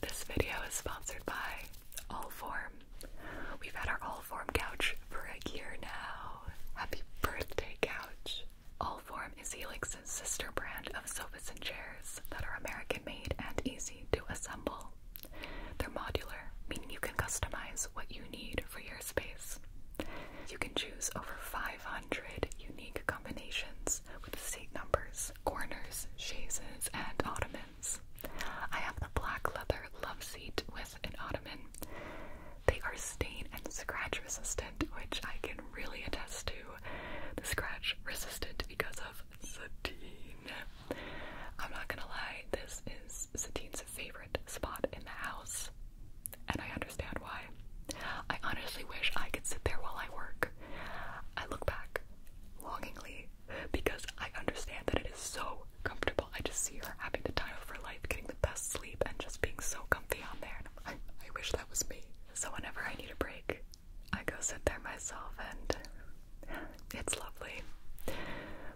This video is sponsored by Allform. We've had our Allform couch for a year now. Happy birthday, couch! Allform is Helix's sister brand of sofas and chairs that are American made and easy to assemble. They're modular, meaning you can customize what you need for your space. You can choose over 500 unique combinations with seat numbers corners, chaises, and ottomans. I have the black leather loveseat with an ottoman. They are stain and scratch resistant, which I can really attest to. The scratch resistant because of sateen. I'm not gonna lie, this is Satine's favorite spot in the house, and I understand why. I honestly wish I could sit there while I work. I look back longingly because I understand that it is so comfortable. I just see her having the time of her life, getting the best sleep, and just being so comfy on there. I, wish that was me. So whenever I need a break, I go sit there myself, and it's lovely.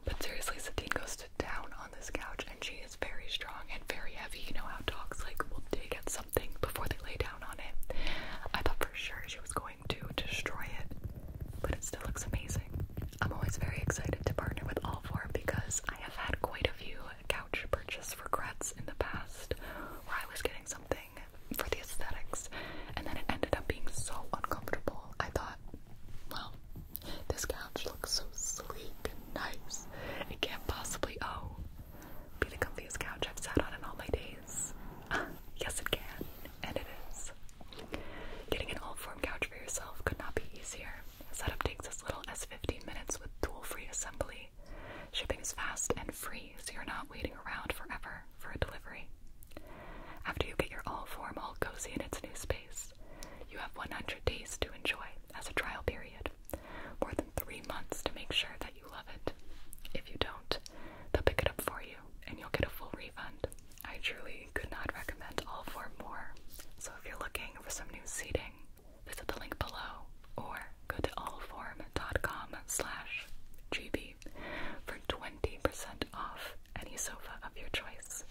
But seriously, Sadie goes to down on this couch, and she is very strong and very heavy. You know how dogs like will dig at something before they lay down on it. I thought for sure she was going to destroy it, but it still looks amazing. I'm always very excited to partner with Allform because I have had quite a few couch purchase regrets in the past where I was getting something for the aesthetics and then it ended up being so uncomfortable. I thought, well, this couch looks so sleek and nice. It can't possibly, oh, be the comfiest couch I've sat on in all my days. yes, it can, and it is. Getting an old form couch for yourself could not be easier. Setup takes as little as 15 minutes with tool free assembly. Shipping is fast and free, so you're not waiting around forever for a delivery. After you get your all form all cozy in its new space, you have 100 days to enjoy as a trial period, more than three months to make sure that love it. If you don't, they'll pick it up for you and you'll get a full refund. I truly could not recommend all four more. So if you're looking for some new seating, visit the link below or go to allform.com slash GB for 20% off any sofa of your choice.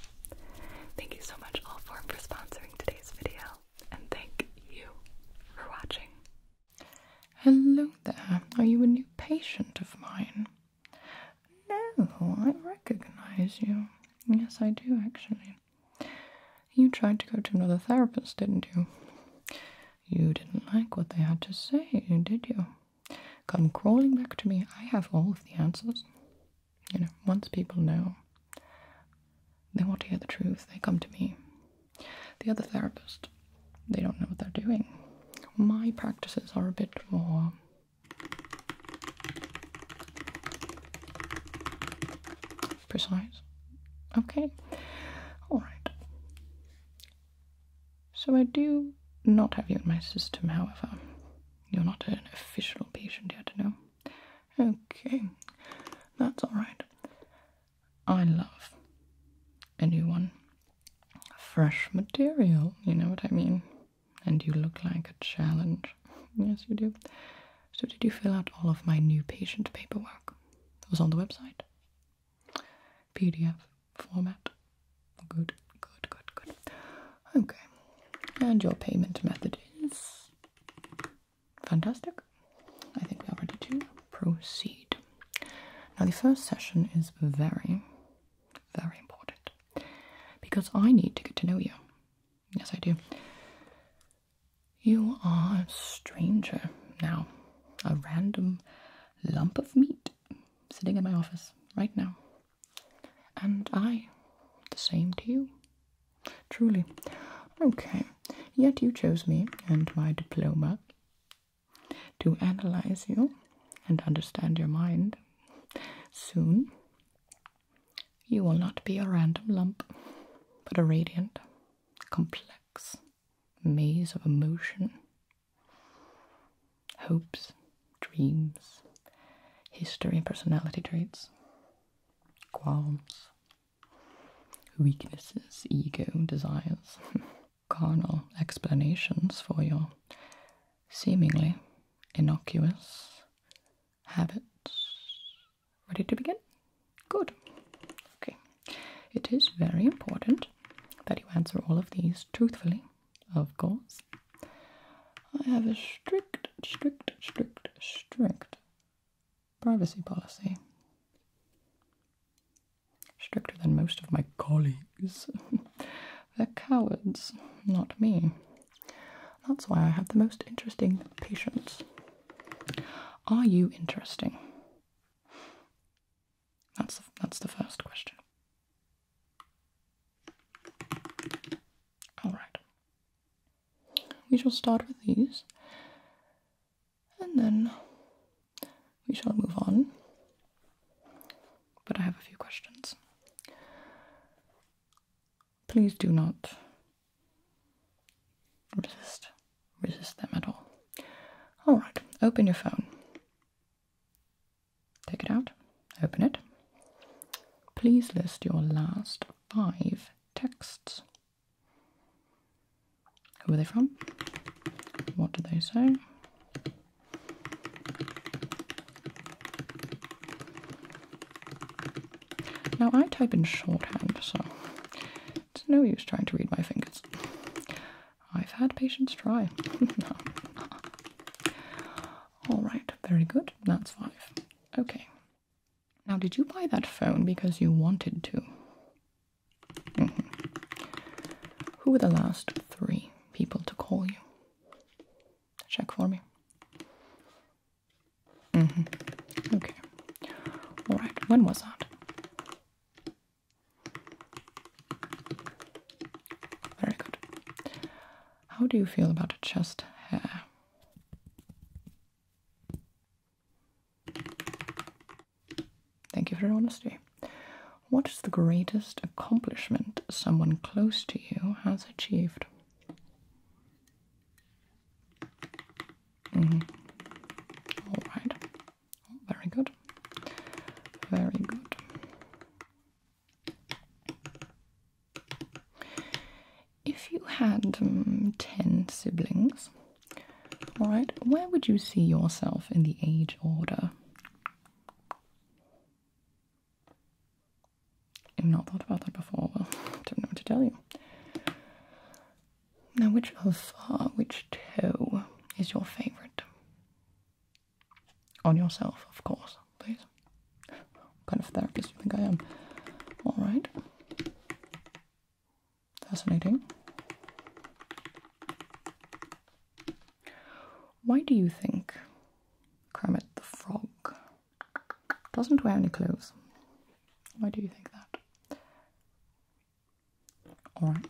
Thank you so much Allform for sponsoring today's video and thank you for watching. Hello there. Are you a new patient of mine? No, I recognize you. Yes, I do actually. You tried to go to another therapist, didn't you? You didn't like what they had to say, did you? Come crawling back to me. I have all of the answers. You know, once people know. They want to hear the truth. They come to me. The other therapist, they don't know what they're doing. My practices are a bit more. Precise. Okay. Alright. So I do not have you in my system, however. You're not an official patient yet, no? Okay. That's alright. I love a new one. Fresh material, you know what I mean? And you look like a challenge. Yes, you do. So, did you fill out all of my new patient paperwork? It was on the website. PDF format. Good, good, good, good. Okay. And your payment method is Fantastic. I think we are ready to proceed. Now, the first session is very, very important because I need to get to know you. Yes, I do. You are a stranger now, a random lump of meat sitting in my office right now. And I, the same to you. Truly, Okay, yet you chose me and my diploma to analyze you and understand your mind. Soon, you will not be a random lump, but a radiant, complex maze of emotion, hopes, dreams, history, and personality traits, qualms, weaknesses, ego, desires, carnal explanations for your seemingly innocuous habits. Ready to begin? Good. Okay. It is very important that you answer all of these truthfully, of course. I have a strict, strict, strict, strict privacy policy. Stricter than most of my colleagues. They're cowards, not me. That's why I have the most interesting patients. Are you interesting? That's the, that's the first question. All right. We shall start with these and then we shall move on. But I have a few questions. Please do not resist resist them at all. All right, open your phone. Take it out. Open it. Please list your last five texts. Who are they from? What do they say? Now I type in shorthand, so it's no use trying to read my fingers. I've had patients try. Alright, very good. That's five. Okay, now, did you buy that phone because you wanted to? Mm-hmm. Who were the last three people to call you? Check for me. Mm -hmm. Okay. All right. When was that? Very good. How do you feel about chest hair? Thank you for your honesty. What is the greatest accomplishment someone close to you has achieved? Mm-hmm. very good. Very good if you had um, 10 siblings, all right, where would you see yourself in the age order? I've not thought about that before. Well, don't know what to tell you. Now, which alpha, uh, which two is your favorite? On yourself, of course, please. What kind of therapist do you think I am? All right. Fascinating. Why do you think Kermit the Frog doesn't wear any clothes? Why do you think that? Alright,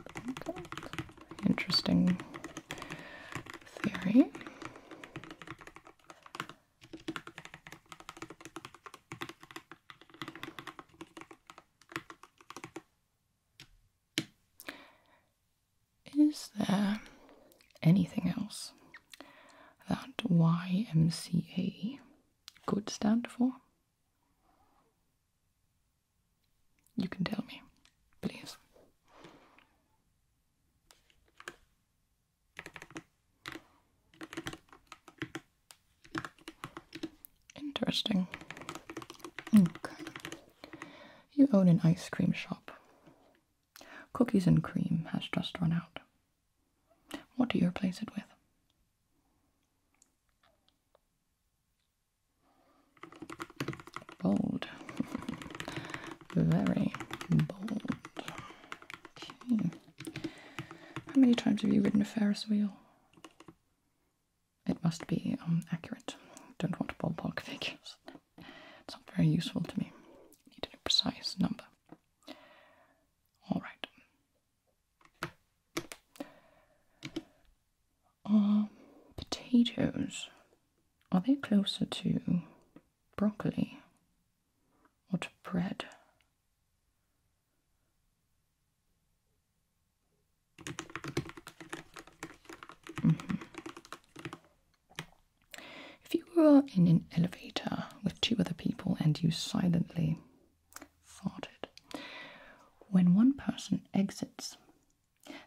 interesting theory. Is there anything else that YMCA could stand for? You can tell me, please. Interesting. Okay. You own an ice cream shop. Cookies and cream has just run out. What do you replace it with? Bold. Very bold. Okay. How many times have you ridden a Ferris wheel? It must be um, accurate. Don't want ballpark figures. It's not very useful to me. I need a precise number. All right. Are um, potatoes? Are they closer to broccoli what bread? Mm-hmm. If you were in an elevator with two other people and you silently farted, when one person exits,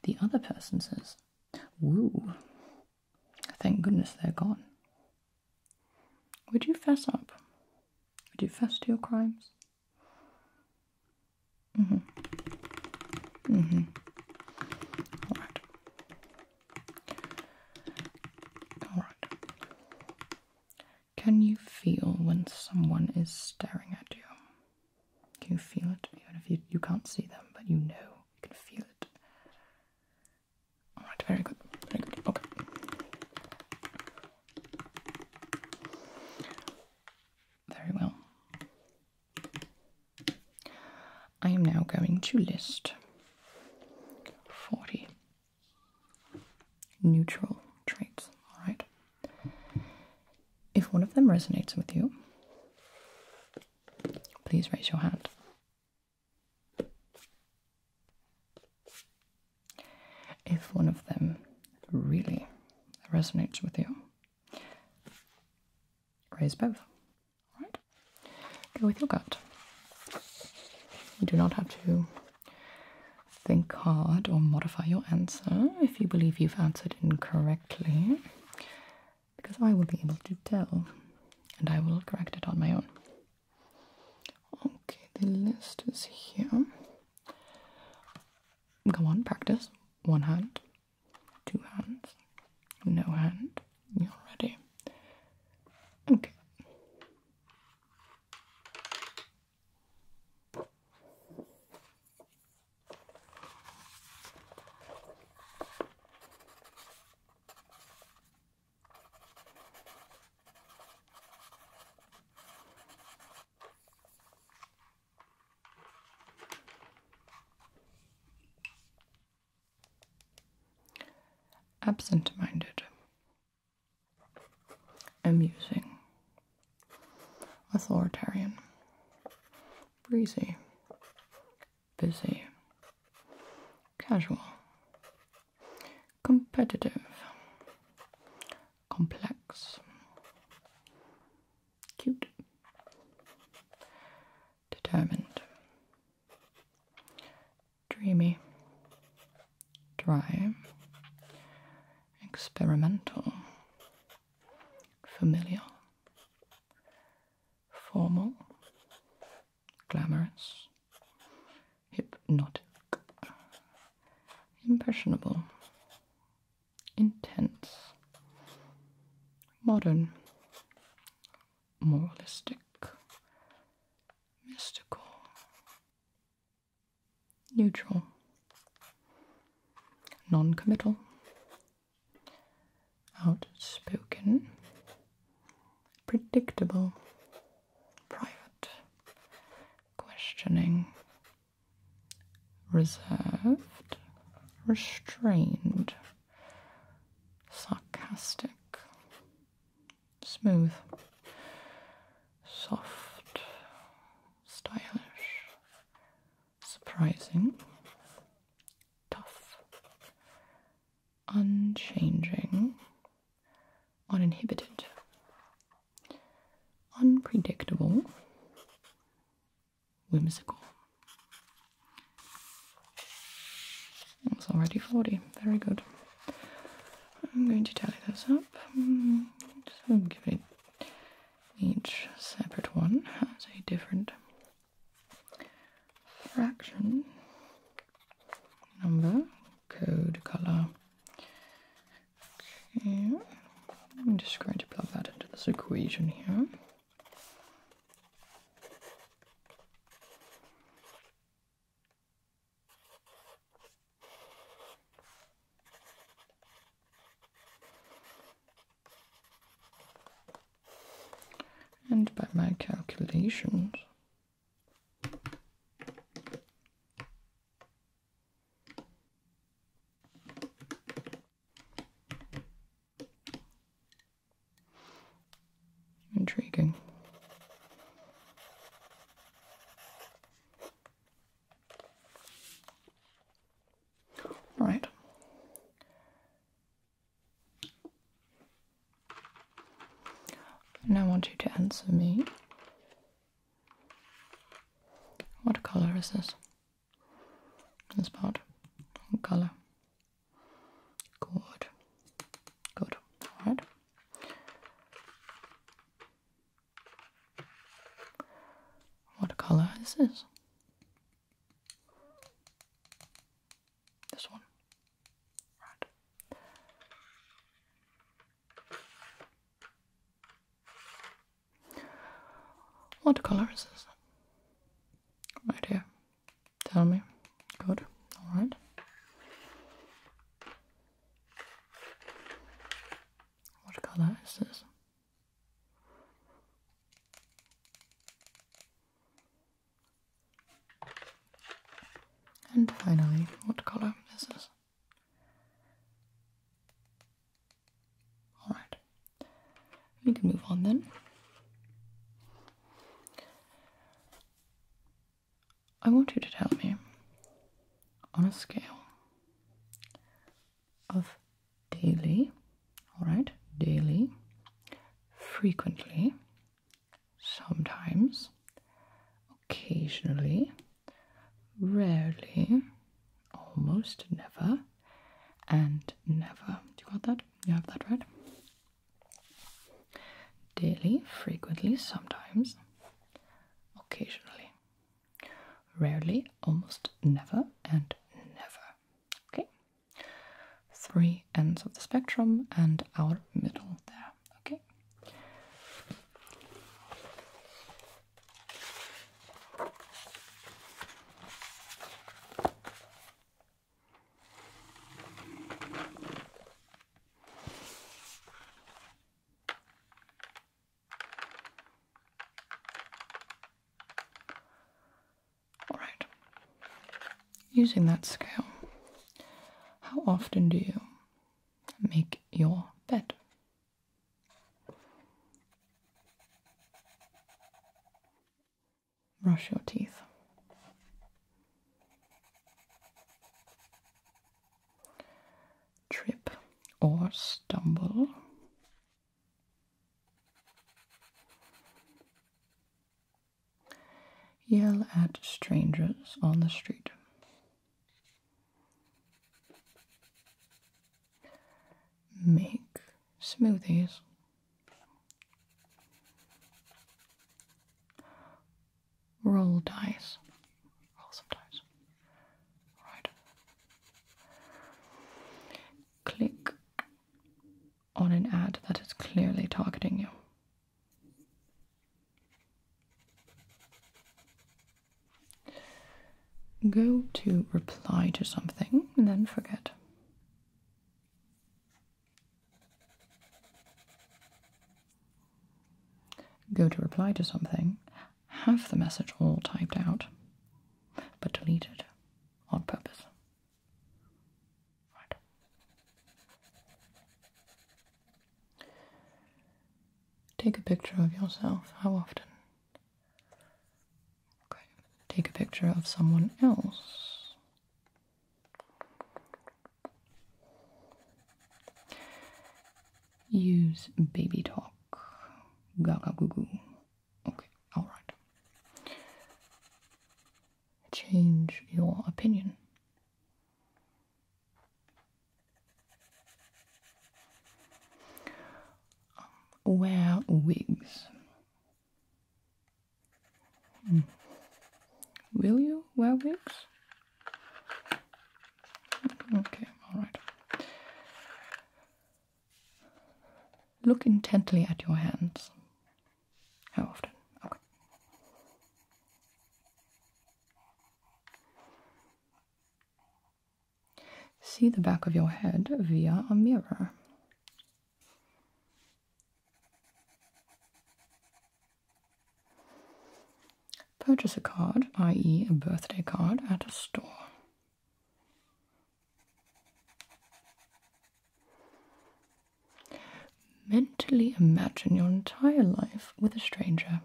the other person says, Woo, Thank goodness they're gone. Would you fess up? Would you fess to your crimes? Mm-hmm. Mm-hmm. Alright. Alright. Can you feel when someone is staring at you? Can you feel it? Even if you, you can't see them, but you know, you can feel it. All right, very good, very good. Okay. Very well. I am now going to list 40 neutral traits, all right? If one of them resonates with you, please raise your hand. If one of them really resonates with you, raise both. All right? Go with your gut. You do not have to think hard or modify your answer if you believe you've answered incorrectly, because I will be able to tell and I will correct it on my own. Okay, the list is here. Go on, practice. One hand, two hands, no hand. You're ready. Okay. Absent minded, amusing, authoritarian, breezy, busy, casual, competitive, complex, cute, determined, dreamy, dry, experimental, familiar, formal, glamorous, hypnotic, impressionable, intense, modern, moralistic, mystical, neutral, non committal, outspoken, predictable, private, questioning, reserved, restrained, sarcastic, smooth, soft, stylish, surprising, tough, unchanging, uninhibited, unpredictable, whimsical. It's already 40. Very good. I'm going to tally those up. Mm, so give it each separate one has a different fraction number code color okay i'm just going to plug that into this equation here and by my calculations, Intriguing. Right. And I want you to answer me. What color is this? This part. What color? Good. Good. What color is this? This one? What colour is this? Right here. Tell me. Good. Alright. What colour is this? And finally, what color this is. Alright, we can move on then. I want you to tell me on a scale of daily, all right, daily, frequently, sometimes, occasionally, rarely, almost never, and never. Do You got that? You have that right? Daily, frequently, sometimes, occasionally, rarely, almost never, and never. Okay? three ends of the spectrum and our middle there. Okay. Alright. Using that scale, how often do you make your bed? Brush your teeth. Trip or stumble Yell at strangers on the street. Make smoothies. Roll dice click on an ad that is clearly targeting you. Go to reply to something and then forget. Go to reply to something, have the message all typed out, but deleted on purpose. Right. Take a picture of yourself. How often? Okay. Take a picture of someone else. Use baby talk, gaga goo goo, Okay, alright. Change your opinion. Um, wear wigs. Hmm. Will you wear wigs? Okay, alright. Look intently at your hands. How often? Okay. See the back of your head via a mirror. Purchase a card, i.e., a birthday card, at a store. Mentally imagine your entire life with a stranger.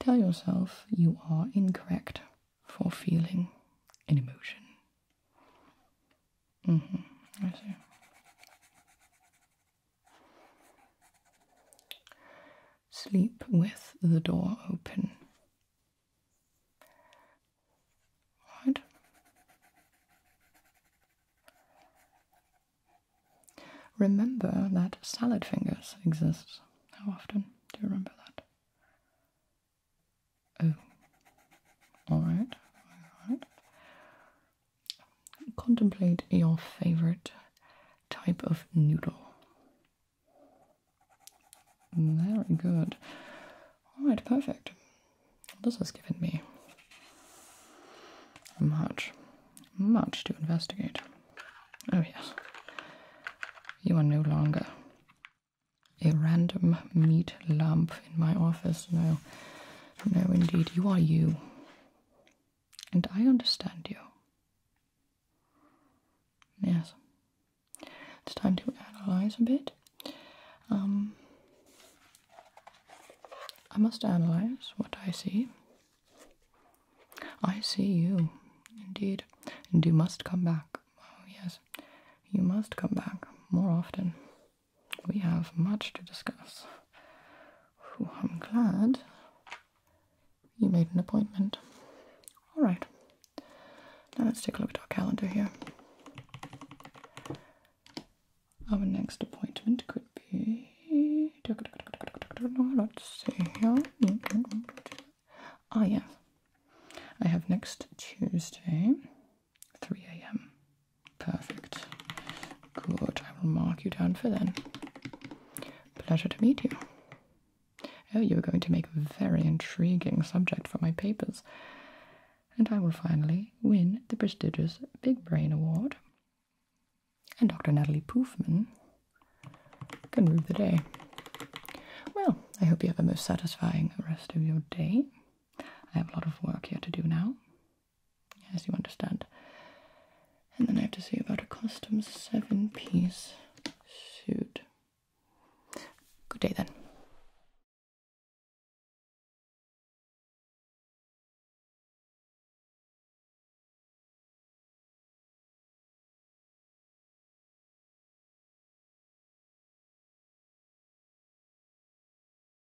Tell yourself you are incorrect for feeling an emotion. Mm-hmm, Sleep with the door open. Right. Remember that salad fingers exists. How often do you remember that? Oh, all right, all right. Contemplate your favorite type of noodle. Very good. Alright, perfect. This has given me much, much to investigate. Oh, yes. You are no longer a random meat lump in my office. No, no, indeed. You are you. And I understand you. Yes. It's time to analyze a bit. Um, I must analyze what I see. I see you, indeed, and you must come back. Oh, yes, you must come back more often we have much to discuss. I'm glad you made an appointment. All right. Now let's take a look at our calendar here. Our next appointment could be. Let's see here. Ah, yes. I have next Tuesday 3 a.m. Perfect. Good. I will mark you down for then. Pleasure to meet you. Oh, you're going to make a very intriguing subject for my papers. And I will finally win the prestigious Big Brain Award. And Dr. Natalie Pufman can rule the day. Well, I hope you have a most satisfying rest of your day. I have a lot of work here to do now as you understand. And then I have to say about a custom seven piece suit. Good day then.